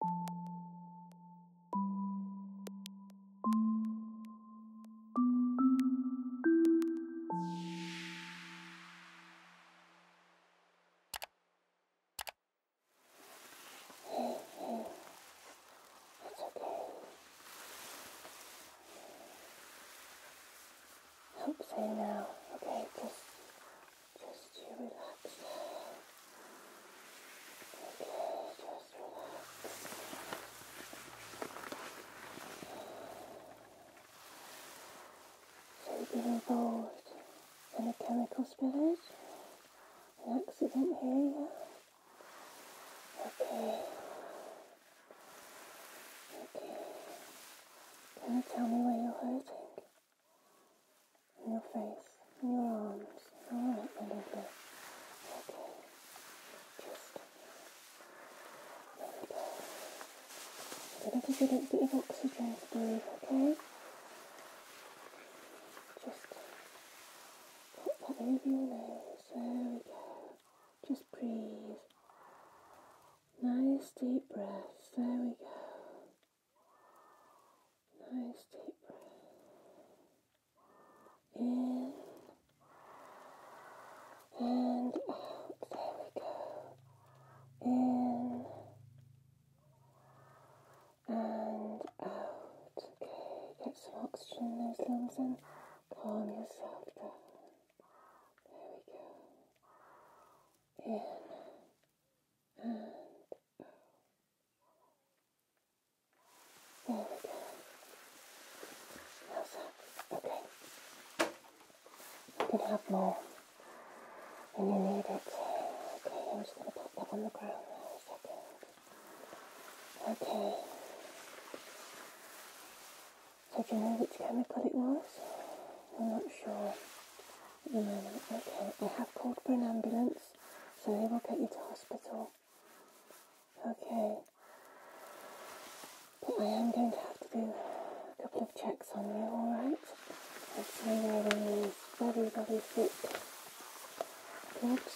Hey, hey, it's okay. Help say now, okay? Just just you relax. Okay, just relax. So you get involved in a chemical spillage, An accident here, Okay. Okay. Can you tell me where you're hurting? your face your arms. Alright, my lovely. Okay. Just there we go. Get a little bit, bit of oxygen to okay? Just pop that over your nose. There we go. Just breathe. Nice deep breaths. There we go. Nice deep breath in and out. There we go. In and out. Okay, get some oxygen in those lungs and calm yourself down. There we go. In and out. There we go. Okay. You can have more when you need it. Okay, I'm just going to put that on the ground now Okay. So do you know which chemical it was? I'm not sure at the moment. Okay, I have called for an ambulance so they will get you to hospital. Okay. But I am going to have to do a couple of checks on you, alright? right? Let's see where is very, very foot Good.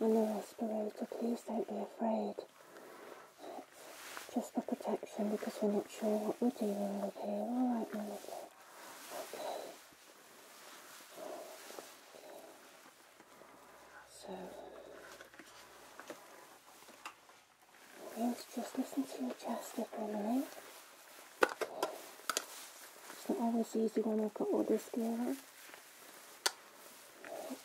And the respirator, please don't be afraid. It's just for protection because we're not sure what we're dealing with here. Alright, my so I'm just listen to your chest if a minute. It's not always easy when I've got all this gear on. Okay.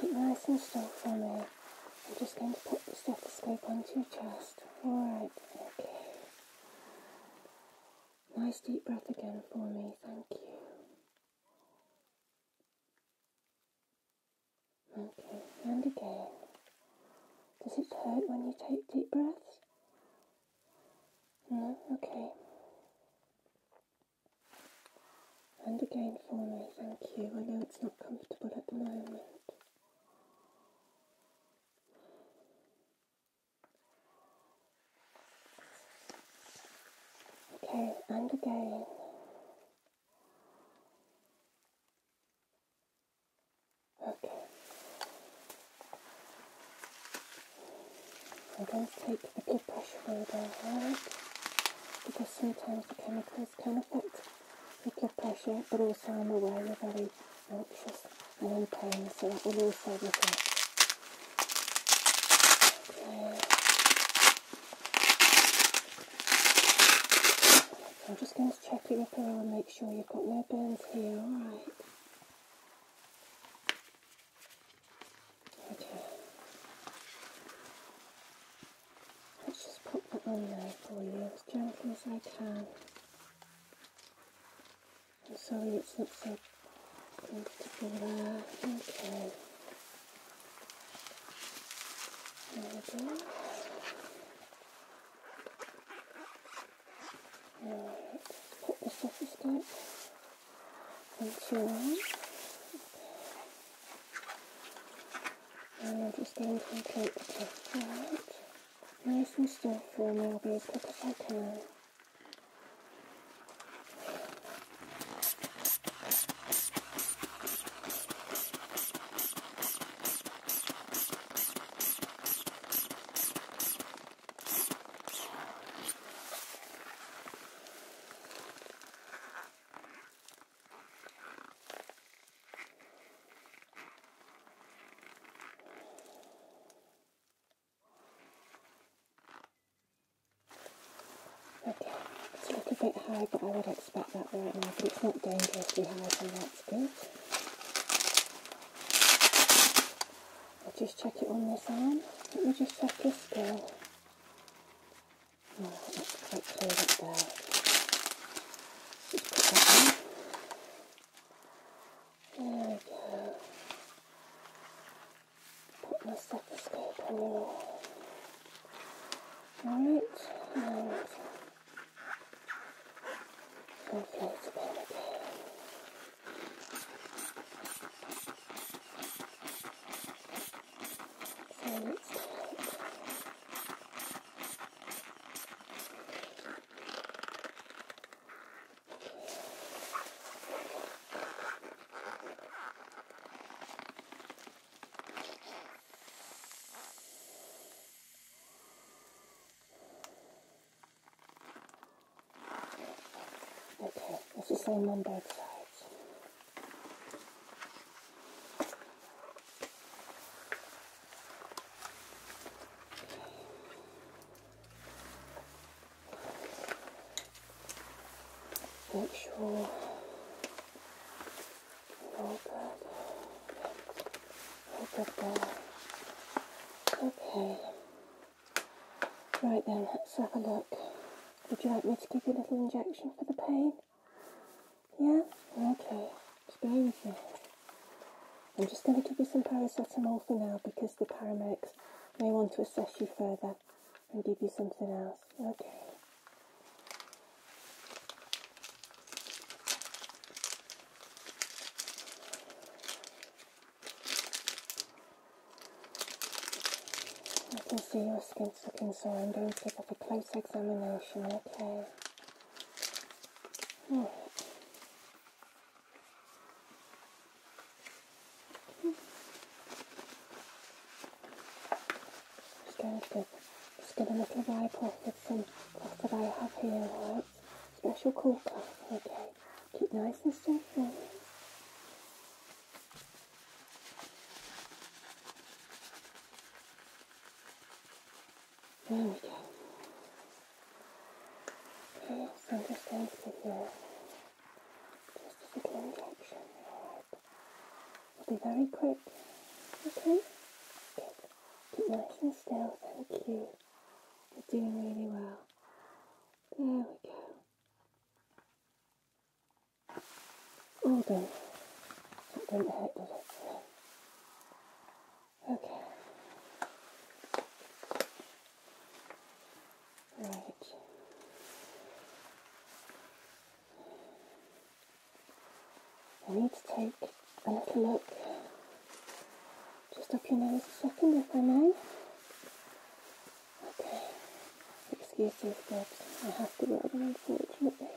Keep nice and still for me. I'm just going to put the stethoscope onto your chest. Alright, okay. Nice deep breath again for me, thank you. Okay, and again. Does it hurt when you take deep breaths? No? Okay. And again for me, thank you. I know it's not comfortable at the moment. Okay, and again. Okay. I'm going to take the blood pressure reader out because sometimes the chemicals can affect blood pressure, but also I'm aware you're very anxious and in pain, so that will also reflect. I'm just going to check your up and make sure you've got no burns here, alright? Okay. Let's just pop that on there for you as gently as I can. I'm sorry it's not so comfortable there. Okay. There we go. Alright, put the surface scope into on. And I'm just going to complete the test. Right nice and still for me I'll be as quick as I can. Okay, it's a little bit high, but I would expect that right now, but it's not dangerously high, so that's good. I'll just check it on this arm. Let me just check this scale. Oh, that's quite clear up there. Just put that in. There we go. Put my stethoscope on your right and inflate a bit again. So it's tight. Okay, it's the same on both sides. Make sure all good. All good there. Okay. Right then, let's have a look. Would you like me to give you a little injection for the pain? Yeah? Okay just bear with me. I'm just going to give you some paracetamol for now because the paramedics may want to assess you further and give you something else. Okay. I can see your skin's looking sore. I'm going to give you a close examination, okay? Just get a little wire cloth with some cloth that I have here, alright? Special cool cloth, okay? Keep nice and safe there we go. Okay, I'm just going to give you just a simple injection. It'll be very quick. Okay? Good. Keep nice and still. Thank you. You're doing really well. There we go. All done. It didn't hurt, did it? Okay. Right. I need to take a little look just up your nose second if I may. Okay. Excuses but I have to wear them unfortunately.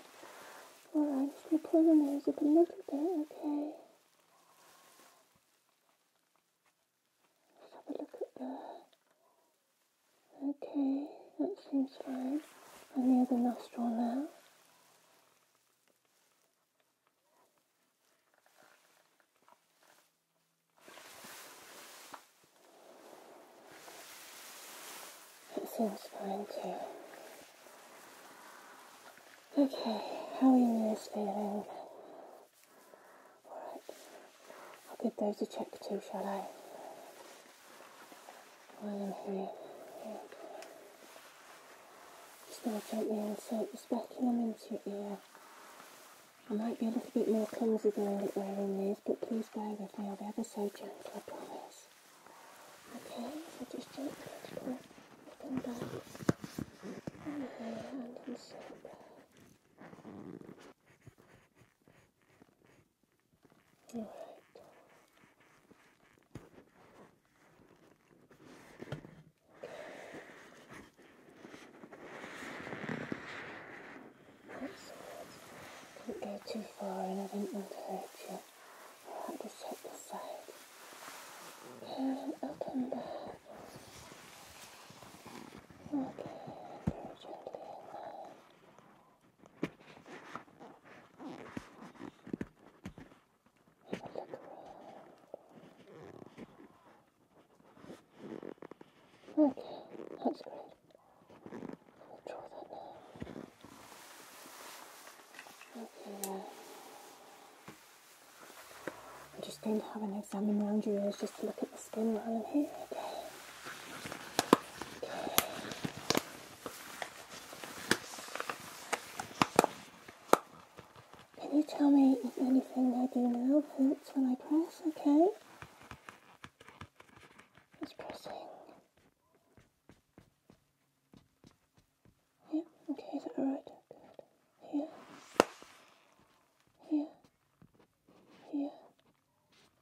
Alright, just gonna pull the nose up a little bit, okay have a look at there. Okay, that seems fine. And other nostril now. That seems fine too. Okay, how are ears feeling? Alright, I'll give those a check too, shall I? While I'm here. Just going to gently insert the speculum into your ear. I might be a little bit more clumsy doing it wearing these, but please bear with me, I'll be ever so gentle, I promise. Okay, so just gently and bath and hand and soap. Alright. Don't go too far and I didn't want to hurt you. I Alright, to check the side. Good, Okay, very gently in there. Okay, that's great. We'll draw that now. Okay, I'm just going to have an examine round your ears just to look at the skin while I'm here. Okay. Can you tell me if anything I do now hurts when I press? Okay. Just pressing. Yeah. okay, is that alright? Good. Here, here, here.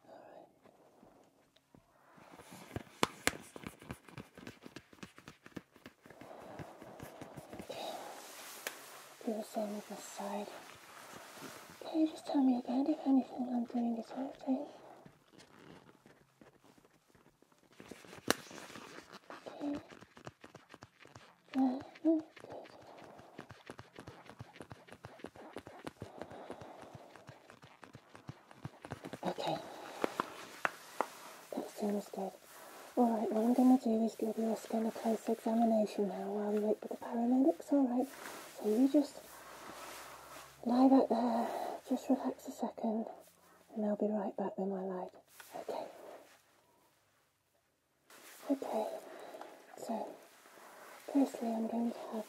Alright. Okay. Do the same with this side. Okay, just tell me again if anything I'm doing is hurting. Okay, that sounds good. Alright, what I'm going to do is give your skin a close examination now while we wait for the paramedics, alright? So you just lie back there, just relax a second, and I'll be right back with my light. Okay. Okay, so firstly I'm going to have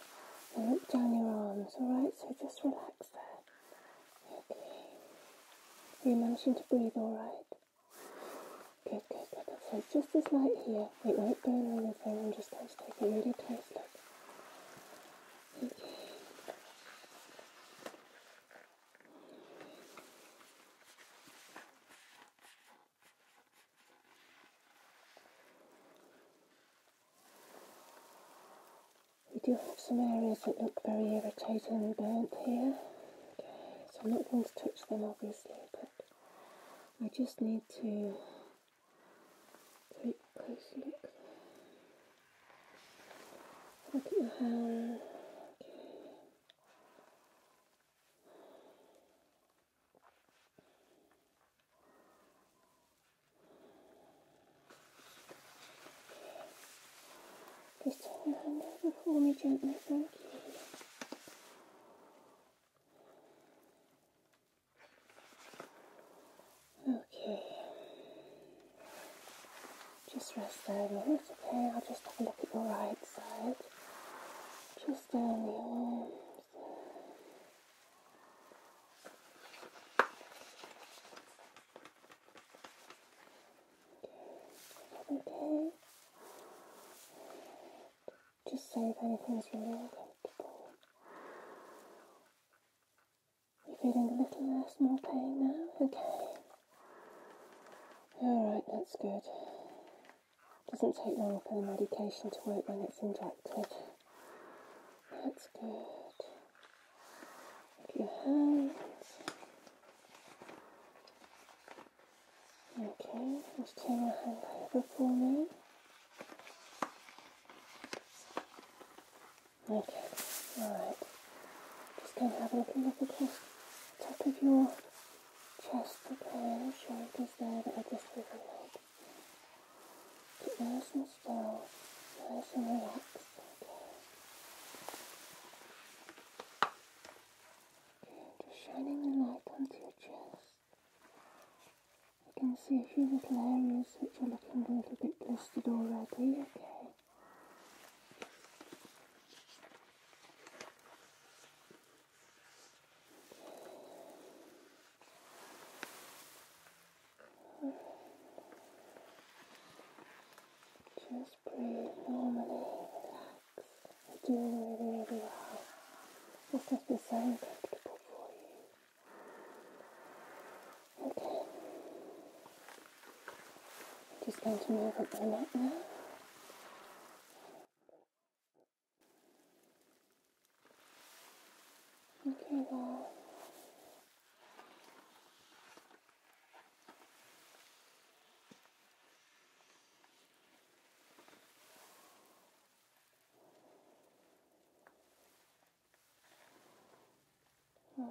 a look down your arms, alright? So just relax there. Okay. you managing to breathe alright? Good, good, good. So just this light here, it won't burn or anything, I'm just going to take a really close look. Okay. We do have some areas that look very irritated and burnt here. Okay, so I'm not going to touch them obviously, but I just need to take a close look. Look at your hand. Okay. Just turn the hand me gently, thank Okay. Just rest there, no, it's okay, I'll just have a look at your right side. Just down the arms Okay, okay. Just say if anything's really uncomfortable. You're feeling a little less, more pain now? Okay. Alright, that's good. Doesn't take long for the medication to work when it's injected. That's good. Look at your hands. Okay, just turn your hand over for me. Okay, alright. Just going to have a look at the across top of your chest, okay, shoulders there that are just overlaid. Keep nice and still, nice and relaxed, okay. okay. Just shining the light onto your chest. You can see a few little areas which are looking a little bit blistered already, okay. Just breathe normally, relax. You're doing really, well. This has been so uncomfortable for you. Okay. Just going to move up your neck now. Okay, well. Right.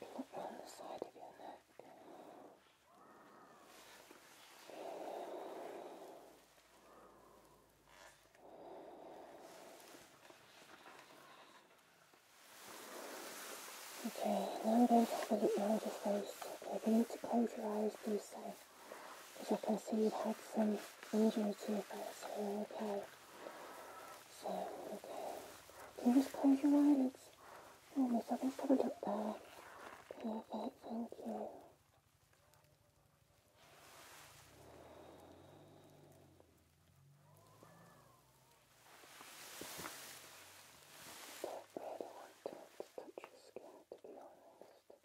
Look on the side of your neck. Okay, now I'm going to have a look round your face. Okay, if you need to close your eyes, do so. Because I can see you've had some injury to your face here, okay? So, okay. Can you just close your eyelids? Oh, there's something covered up there. Perfect, thank you. Skin, to be honest.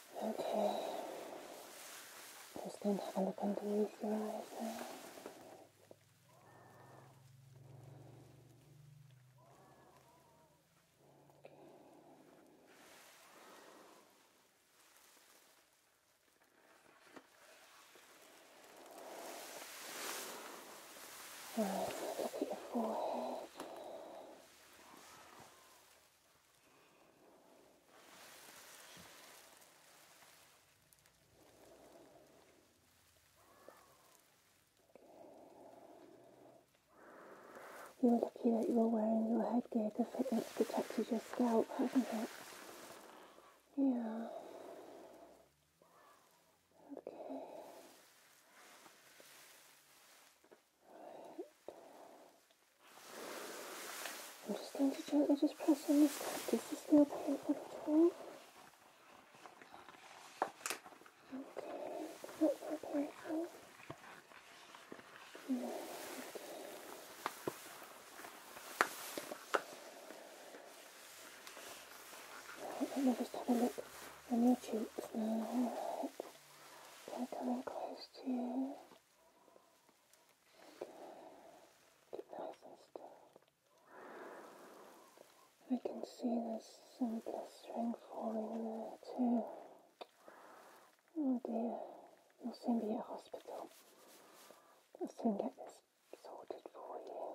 Okay. Just going to have a look underneath your eyes now. Right, look at your forehead. You are lucky that you were wearing your headgear because it has protected your scalp, hasn't it? Yeah. Okay. I'm just going to gently just press on this. Does this feel painful at Okay, not that let me just have a look on your cheeks Alright. they close to I can see there's some blistering falling there too. Oh dear, you'll soon be at hospital. I'll soon get this sorted for you.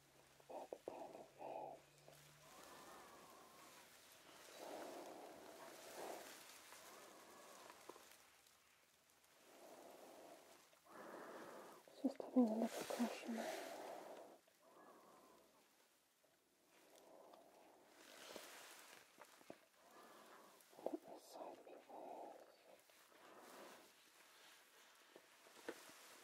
Just giving a little caution. Let this side be raised.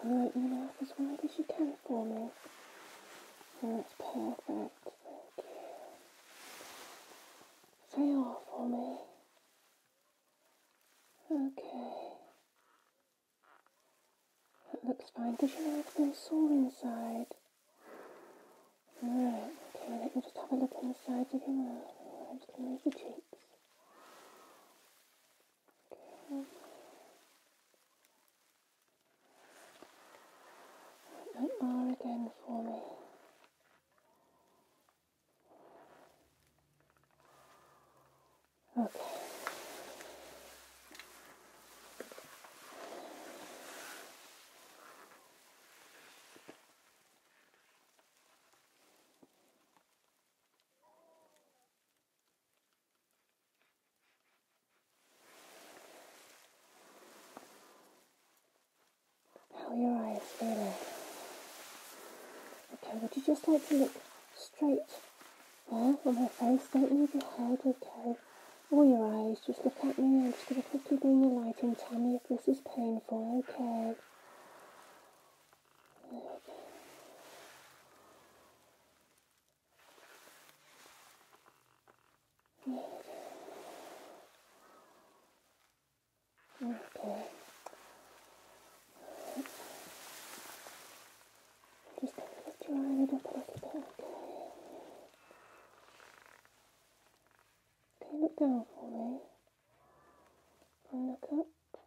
Can your mouth as wide as you can for me? that's perfect. Thank you. Say R for me. Okay. That looks fine. you know your mouth been sore inside? Alright, okay, let me just have a look on the sides of your mouth. I'm just going to move your cheeks. Okay. that R again for me. Okay. How are your eyes feeling? Okay, would you just like to look straight there uh, on my face? Don't move your head, okay? All oh, your eyes, just look at me. I'm just going to quickly bring the light in. Tell me if this is painful. Okay. There Okay. Just going to lift a little bit. Okay. Can you look down for me? Can you look up.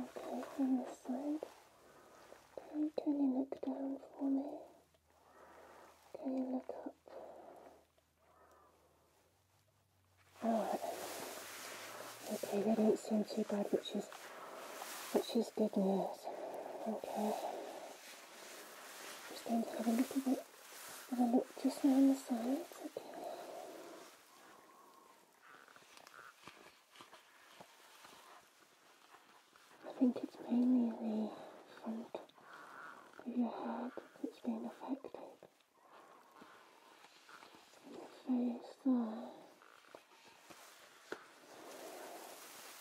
Okay, on this side. can you look down for me? Can you look up? Alright. Okay, they don't seem too bad, which is which is good news. Okay. Just going to have a little bit and then look just round the sides, okay. I think it's mainly the front of your head that's been affected. your face there.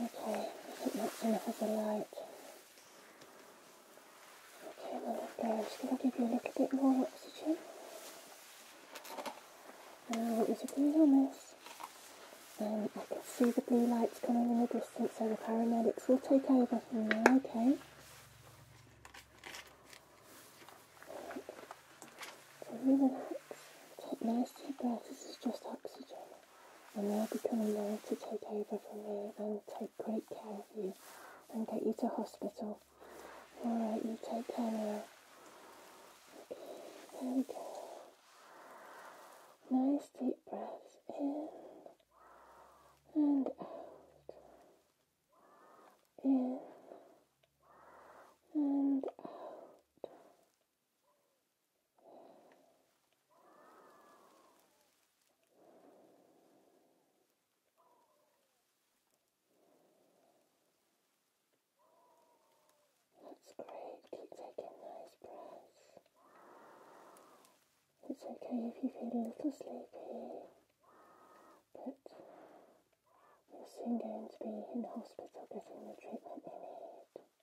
Okay, I think that's enough of the light. Okay, my little girl, I'm just going to give you a little bit more oxygen. And I want you to breathe on this. And I can see the blue lights coming in the distance, so the paramedics will take over from there, okay? Right. So relax, take nice deep breaths, this is just oxygen and they'll be coming there to take over from me and take great care of you and get you to hospital. Alright, you take care now. Okay, there we Nice deep breaths in and out. In and out. That's great, keep taking nice breaths. It's okay if you feel a little sleepy, but you're soon going to be in hospital getting the treatment you need.